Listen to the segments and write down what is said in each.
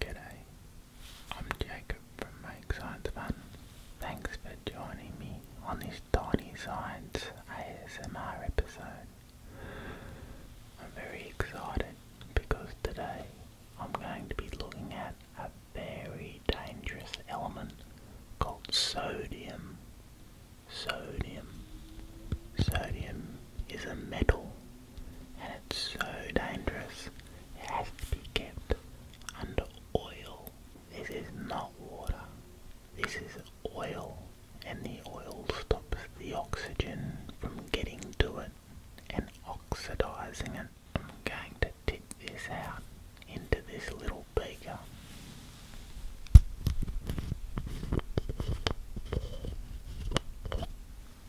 G'day, I'm Jacob from Make Science Fun. Thanks for joining me on this Tiny Science ASMR episode. I'm very excited because today I'm going to be looking at a very dangerous element called sodium. Sodium. Sodium is a metal and it's so dangerous. It has to be kept under oil. This is not water. This is oil, and the oil stops the oxygen from getting to it and oxidizing it. I'm going to tip this out into this little beaker.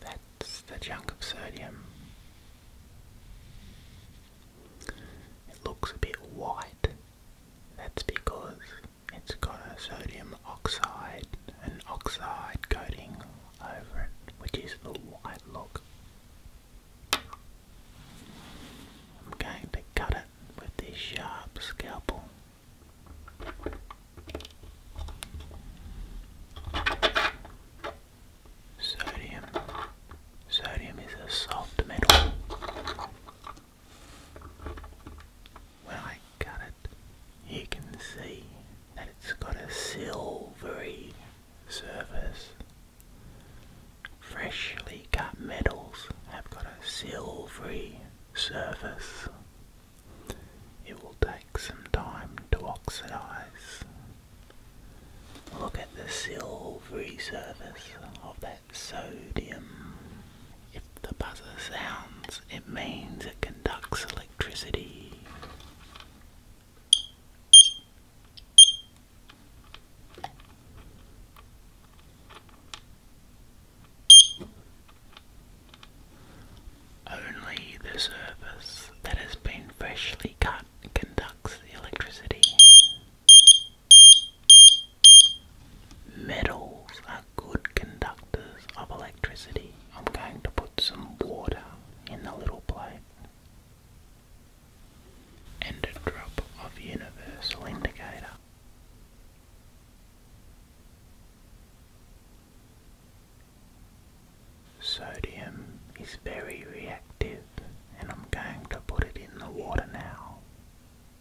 That's the chunk of sodium. It looks a bit white. That's because it's got a sodium oxide, and oxide coating over it, which is the white look. I'm going to cut it with this sharp scalpel. Sodium. Sodium is a soft metal. When I cut it, you can see that it's got a silvery surface freshly cut metals have got a silvery surface. It will take some time to oxidize. Look at the silvery surface of that sodium. If the buzzer sounds, it means it conducts electricity. Only the surface that has been freshly cut conducts the electricity. Metals are good conductors of electricity. I'm going to put some water in the little plate and a drop of universal indicator. Sodium is very reactive and I'm going to put it in the water now.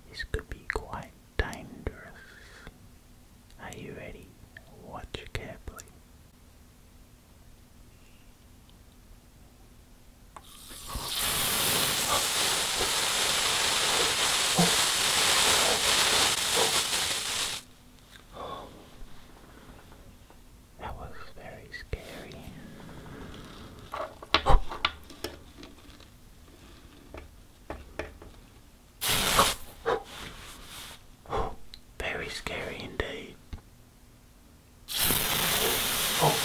This could be quite dangerous. Are you ready? Watch carefully. That was very scary. Very scary indeed. Oh.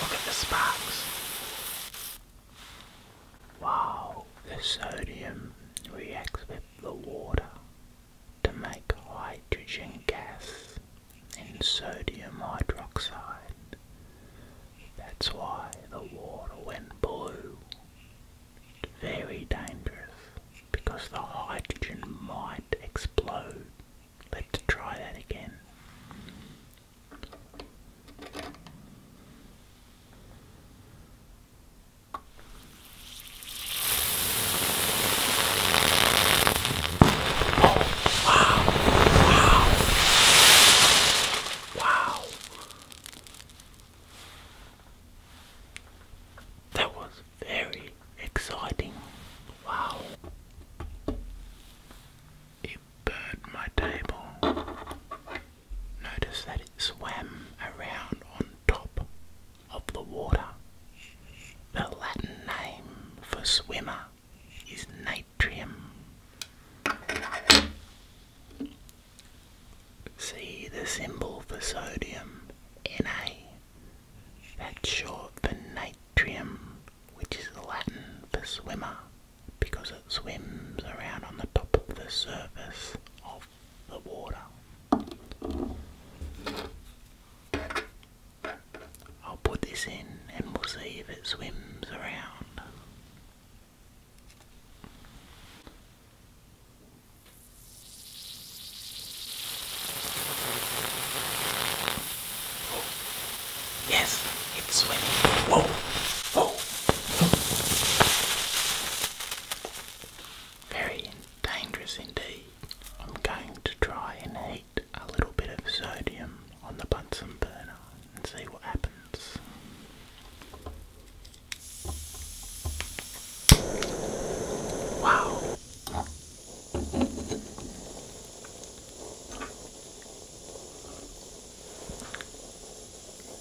Look at the sparks. Wow, the sodium reacts with the water to make hydrogen gas and sodium hydroxide. That's why the water went blue. Very dangerous because the hydrogen might explode. Let's try that again. Oh, wow, wow, wow. That was very exciting. Wow. It burned my table. Notice that it swam around on top of the water. The Latin name for swimmer is natrium. See the symbol for sodium, Na. That's short for natrium, which is Latin for swimmer, because it swims around on the top of the surface of the water. I'll put this in and we'll see if it swims around. Yes, it's swimming. Whoa, whoa, whoa. Very dangerous indeed. I'm going to try and heat a little bit of sodium on the Bunsen burner and see what happens. Wow.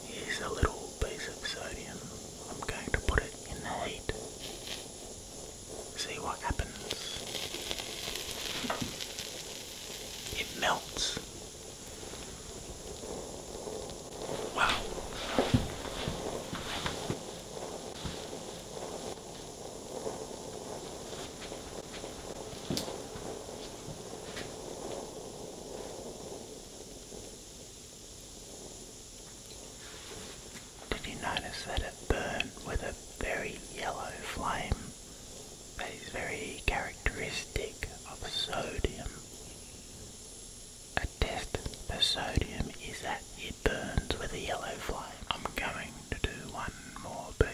Here's a little piece of sodium. I'm going to put it in the heat. See what happens. It melts. Wow. Did you notice that it burned with a very yellow flame? that is very characteristic of sodium. A test for sodium is that it burns with a yellow flame. I'm going to do one more piece.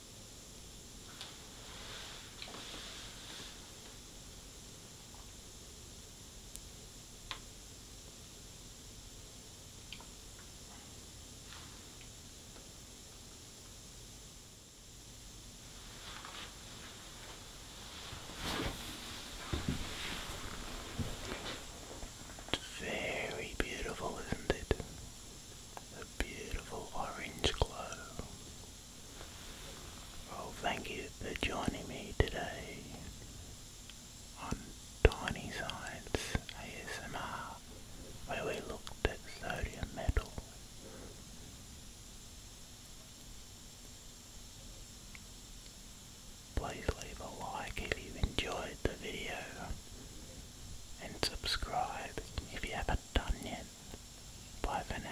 It's very beautiful, isn't it? a beautiful orange glow. Well, thank you for joining me today on Tiny Science ASMR, where we looked at sodium metal. Please leave a like if you enjoyed the video and subscribe if you haven't done yet. Bye for now.